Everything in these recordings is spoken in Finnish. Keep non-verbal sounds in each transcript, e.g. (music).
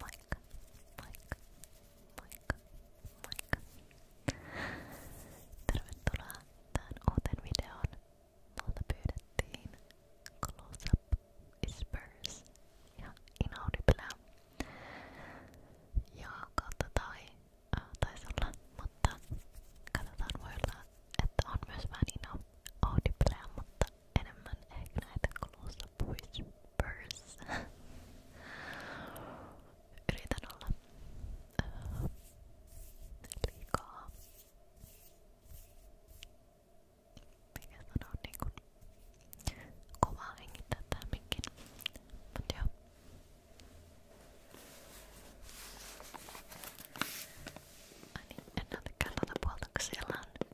Moikka, moikka, moikka, moikka. Tervetuloa tähän uuteen videoon. Multa pyydettiin Close Up Whispers ja Inaudiblea. Ja kautta tai äh, taisi olla, mutta katsotaan voi olla, että on myös vähän Inaudiblea, mutta ottaa enemmän ehkä näitä kulusta pois pörssä. (laughs) Yritän olla öö, liikaa. Mikä sanoo niinku kovaa hengittää tää mikki. Mut joo. Ai niin, en näytäkään tuota puolta, kun siellä on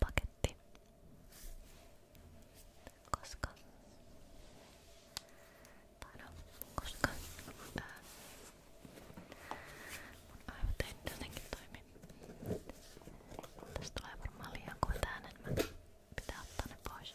paketti, koska, tai no, koska ää, mun aivot ei jotenkin toimi. Tästä tulee varmaan liian kuin äänen, mä pitää ottaa ne pois.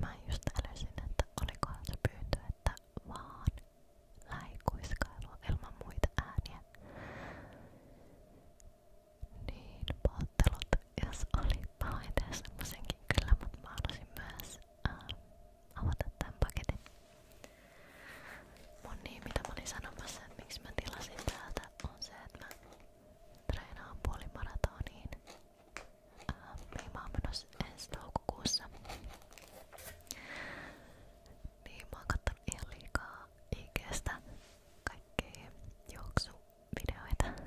Mä just älysin, että olikohan se pyyntö, että vaan läikuiskailua ilman muita ääniä. Niin, pahoittelut, jos oli pahoin tehdä semmosenkin kyllä, mutta mä halusin myös ää, äh, avata tämän paketin. Mun niin, mitä mä olin sanomassa, että miksi mä tilasin täältä, on se, että mä treenaan puolimaratoniin Mihin mä oon menossa ensi toukokuussa. Niin mä oon kattonut ihan liikaa IGstä kaikkia juoksuvideoita.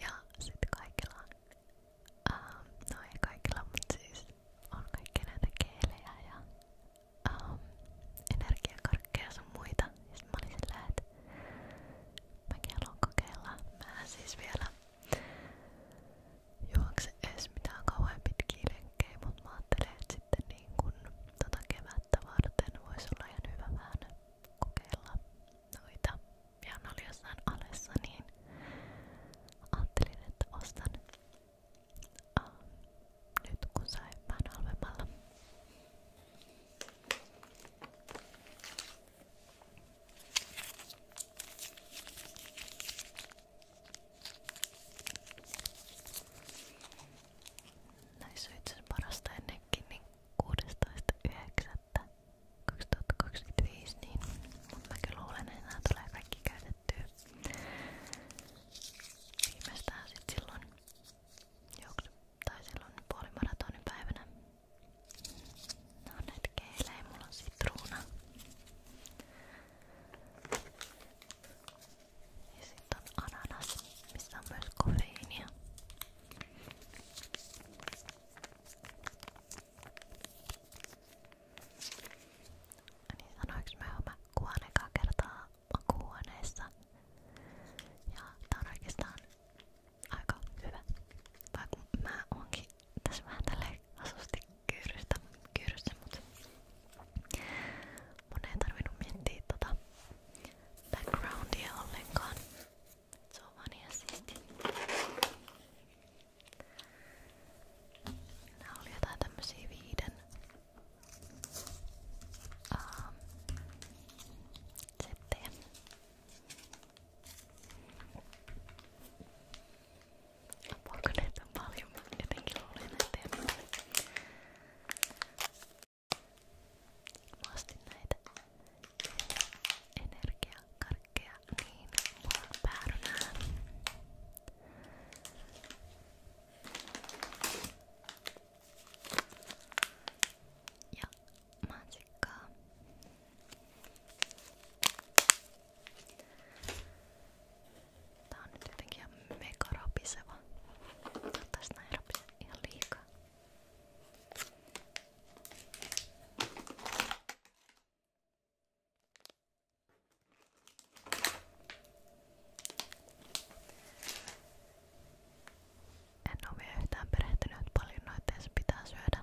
Ja sit kaikilla on, ähm, no ei kaikilla, mut siis on kaikki näitä keelejä ja ähm, energiakarkkeja sun muita. Ja mä olin sillä, että mäkin haluan kokeilla. Mä siis vielä juokse edes mitään kauhean pitkiä lenkkejä, mut mä ajattelin, että sitten niin kun tota kevättä varten voisi olla ihan hyvä vähän kokeilla noita. Ja ne oli jossain alessa, niin ajattelin, että ostan uh, nyt kun sai vähän halvemmalla. Näissä on itse parasta ennenkin niin 16.9.2025, niin mutta mä kyllä luulen, että nämä tulee kaikki käytettyä viimeistään sit silloin juoksu tai silloin puolimaratonin päivänä. No näitä keilejä, mulla on sitruuna. Ja sit on ananas, missä on myös kofeiinia. Niin sanoinko mä jo, mä kuoon ekaa kertaa makuuhuoneessa. Ja tää on oikeastaan aika hyvä. Vaikka mä oonkin tässä vähän tälleen asusti kyyrystä, kyyryssä, mutta mun ei tarvinnut miettiä tota backgroundia ollenkaan. Se on vaan ihan siisti. Nää oli jotain tämmösiä viiden um, sitten. Apua kun näitä on paljon, mä jotenkin luulen näitä ja Mä ostin näitä energiakarkkeja niin mulla on päärynää. いやマジか Tää on nyt jotenkin ihan mega rapiseva. Toivottavasti näin rapise ihan liikaa. En ole vielä yhtään perehtynyt, että paljon noita edes pitää syödä.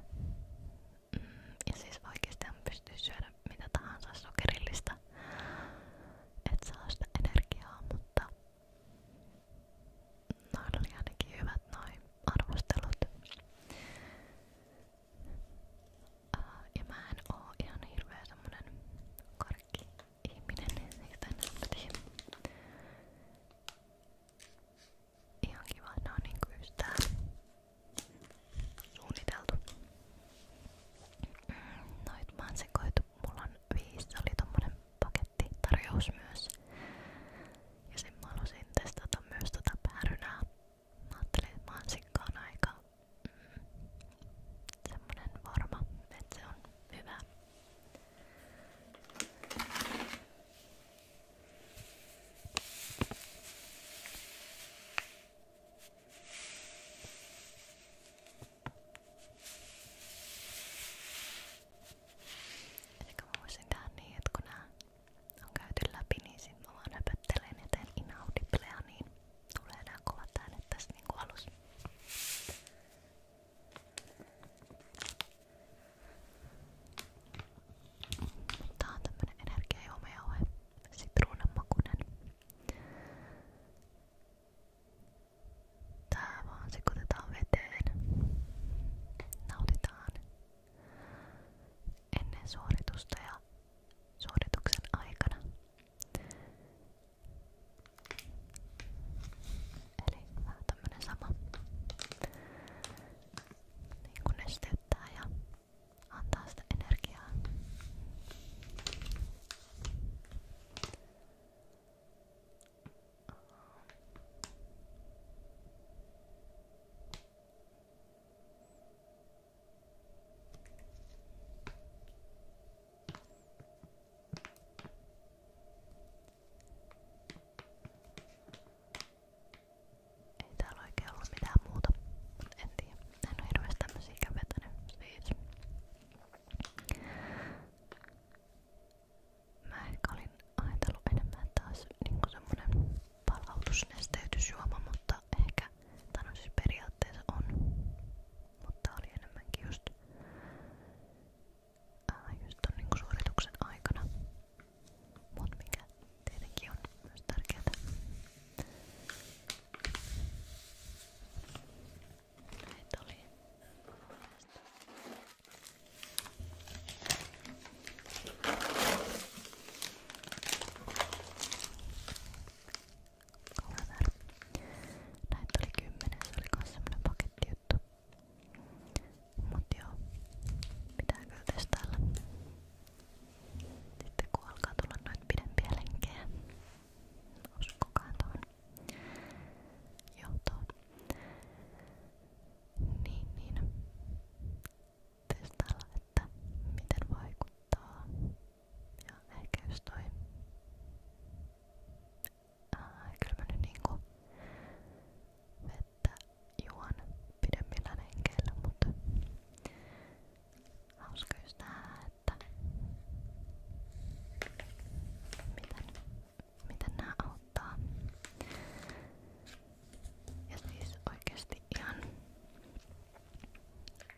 Mm, ja siis oikeasti pystyy syödä mitä tahansa sokerillista, et saa sitä energiaa, mutta noin oli ainakin hyvät noin arvostelut. Uh, ja mä en oo ihan hirveä semmonen karkki ihminen niistä nähtiin. Ihan kiva, ne on niinku yhtään suunniteltu. Mm, noit mä oon sekoitu, mulla on viisi, se oli tommonen pakettitarjous myös. Ja sen mä halusin testata myös tota päärynää. Mä ajattelin, että mansikka on aika mm, semmonen varma, että se on hyvä Ehkä mä voisin tehdä niin, että kun nää on käyty läpi, niin sit mä vaan höpöttelen ja teen inaudiblea, niin tulee nää kovat äänet tässä niinku alussa. Tää on tämmönen energiajuomajauhe. Sitruunanmakunen. Tää vaan sekoitetaan veteen. Nautitaan ennen suoritusta ja suorituksen aikana. Eli vähän tämmönen sama. Niin kun nesteyttää ja antaa sitä energiaa. Okei, ei täällä oikein ollut mitään muuta. En tiedä. En oo hirveesti tämmösiä kävetänyt. Siis. Mä ehkä olin ajatellut enemmän taas niinku semmonen palautusnesteytysjuoma, mutta ehkä tän on siis periaatteessa on. Mutta oli enemmänkin just ää, just ton niin suorituksen aikana. Mut mikä tietenkin on myös tärkeää. Näitä oli Kauan Näitä oli kymmenen, se oli myös semmonen paketti, juttu. Mut joo, pitää kyllä testailla. Sitten kun alkaa tulla noita pidempiä lenkkejä, uskokaan tuohon johtoon. Niin, niin. Testailla, että miten vaikuttaa. Ja ehkä jos toi ää, kyllä mä nyt niinku vettä juon pidemmillä renkeillä, mutta hauska just nähdä, että miten, miten nää auttaa. Ja siis oikeesti ihan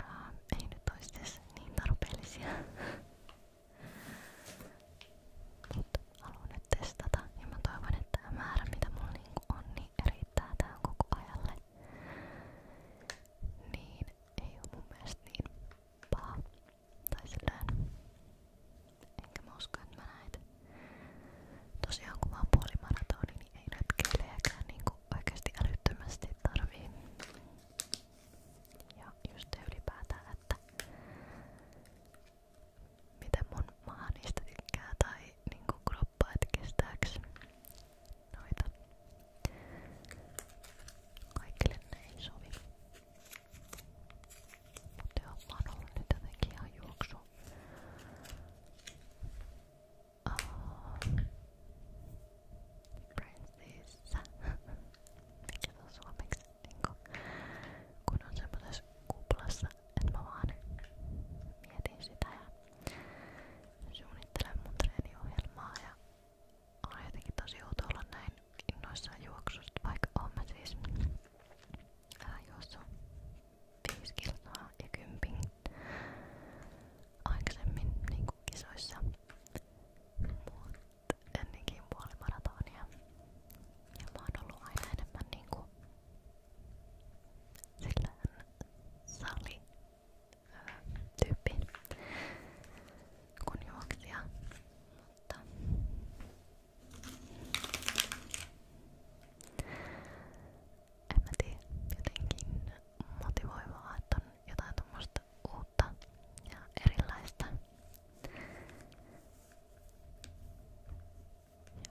ää, ei nyt ois niin tarpeellisia (laughs) Mut haluan nyt testata ja mä toivon, että tämä määrä mitä mulla niinku on, niin riittää tähän koko ajalle. Niin ei oo mun mielestä niin paha. Tai silleen. Enkä mä usko, että mä näet. Tosiaan kun mä oon puolimaratoni, niin ei retkeilejäkään niinku oikeesti älyttömästi tarvii. Ja just se ylipäätään, että miten mun maha niistä tykkää tai niinku kroppa, et kestääks noita. Kaikille ne ei sovi. Mutta joo, mä oon ollut nyt jotenkin ihan juoksu. Uh, Princessa. Mikä se on suomeksi? Niinku, kun on semmosessa kuplassa, että mä vaan mietin sitä ja suunnittelen mun treeniohjelmaa ja on jotenkin tosi outo olla näin innoissaan juoksusta, vaikka oon mä siis ää, juossut 5 kilsaa ja kympin aikaisemmin niin kisoissa. Mutta ennenkin puolimaratonia. Ja mä oon ollut aina enemmän niinku silleen sali tyyppi kun juoksija. Mutta en mä tiedä, jotenkin motivoivaa, että on jotain tuommoista uutta uutta ja erilaista.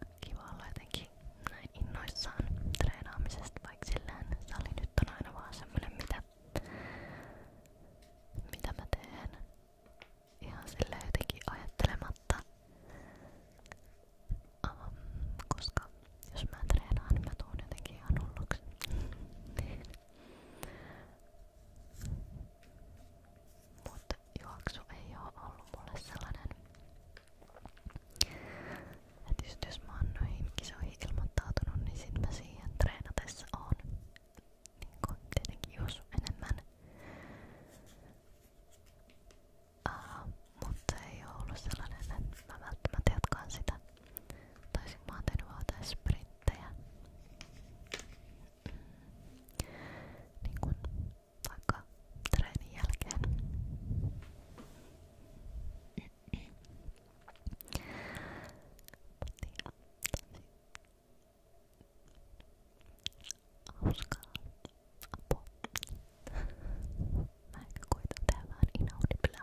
Ja kiva olla jotenkin näin innoissaan treenaamisesta, vaikka silleen sali nyt on aina vaan semmonen mitä, mitä mä teen ihan silleen jotenkin ajattelematta. Um, koska jos mä treenaan, niin mä tuun jotenkin ihan hulluksi. Mutta juoksu ei oo ollut mulle sellainen, että just jos mä oon noihin kisoihin ilmoittautunut, niin sit mä siihen treenatessa oon niinku tietenkin juossut enemmän. Uh, mutta ei oo ollut sellainen, että mä välttämättä jatkaan sitä. Taisin mä oon tehnyt vaan jotain sprint elementtejä. Niin kuin vaikka treenin jälkeen. Hauskaa apua. Mä ehkä koitan tehdä vähän inaudibleä.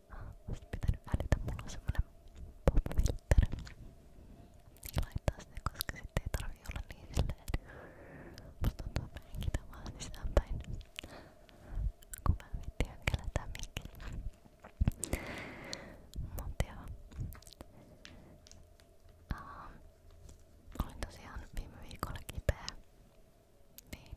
Sitten pitää nyt välitä, mulla on semmonen pop-filter. Niin laittaa sitä, koska sitten ei tarvii olla niin silleen. Musta tuntuu, että mä henkitän vaan sisäänpäin. Kun mä vittin hönkellä tää mikki. Mut joo. Uh, olin tosiaan viime viikolla kipeä. Niin.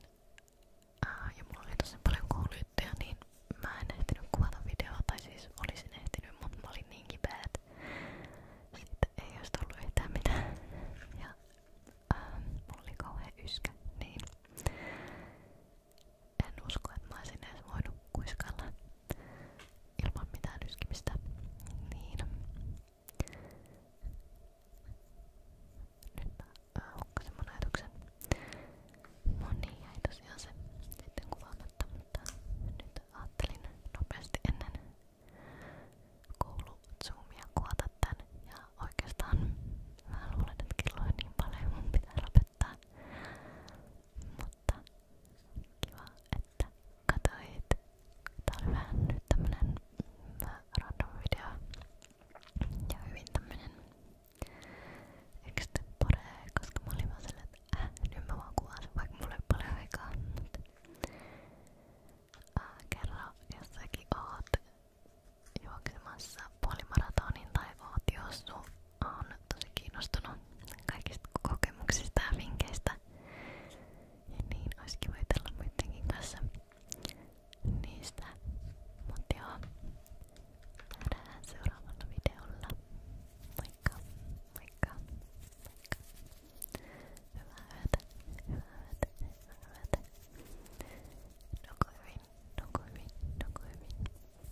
Äh, ja mulla oli tosi paljon kuuluyttöjä, niin mä en ehtinyt kuvata videoa, tai siis olisin ehtinyt, mutta mä olin niin kipeä, että siitä ei olisi tullut yhtään mitään. Ja äh, mulla oli kauhean yskä, niin en usko, että mä olisin edes voinut kuiskalla ilman mitään yskimistä. Niin. Nyt mä Hukkasen mun ajatuksen. No niin, jäi tosiaan se sitten kuvaamatta, mutta nyt ajattelin nopeasti ennen kouluzoomia kuvata tän. Ja oikeastaan mä luulen, että kello on niin paljon, mun pitää lopettaa. Mutta kiva, että katsoit. Tää oli vähän nyt tämmönen mm, random video. Ja hyvin tämmönen extempore, koska mä olin vaan äh, nyt mä vaan kuvaan vaikka mulla ei ole paljon aikaa. Mutta, äh, kerran jos säkin oot juoksemassa tai oot juossut, tosi kiinnostunut kaikista kokemuksista ja vinkkeistä. Ja niin olisi kiva jutella kanssa niistä. Mut joo, nähdään seuraavalla videolla. Moikka, moikka, moikka. Hyvää yötä, hyvää yötä, hyvää yötä. Nuku hyvin, nuku hyvin, nuku hyvin.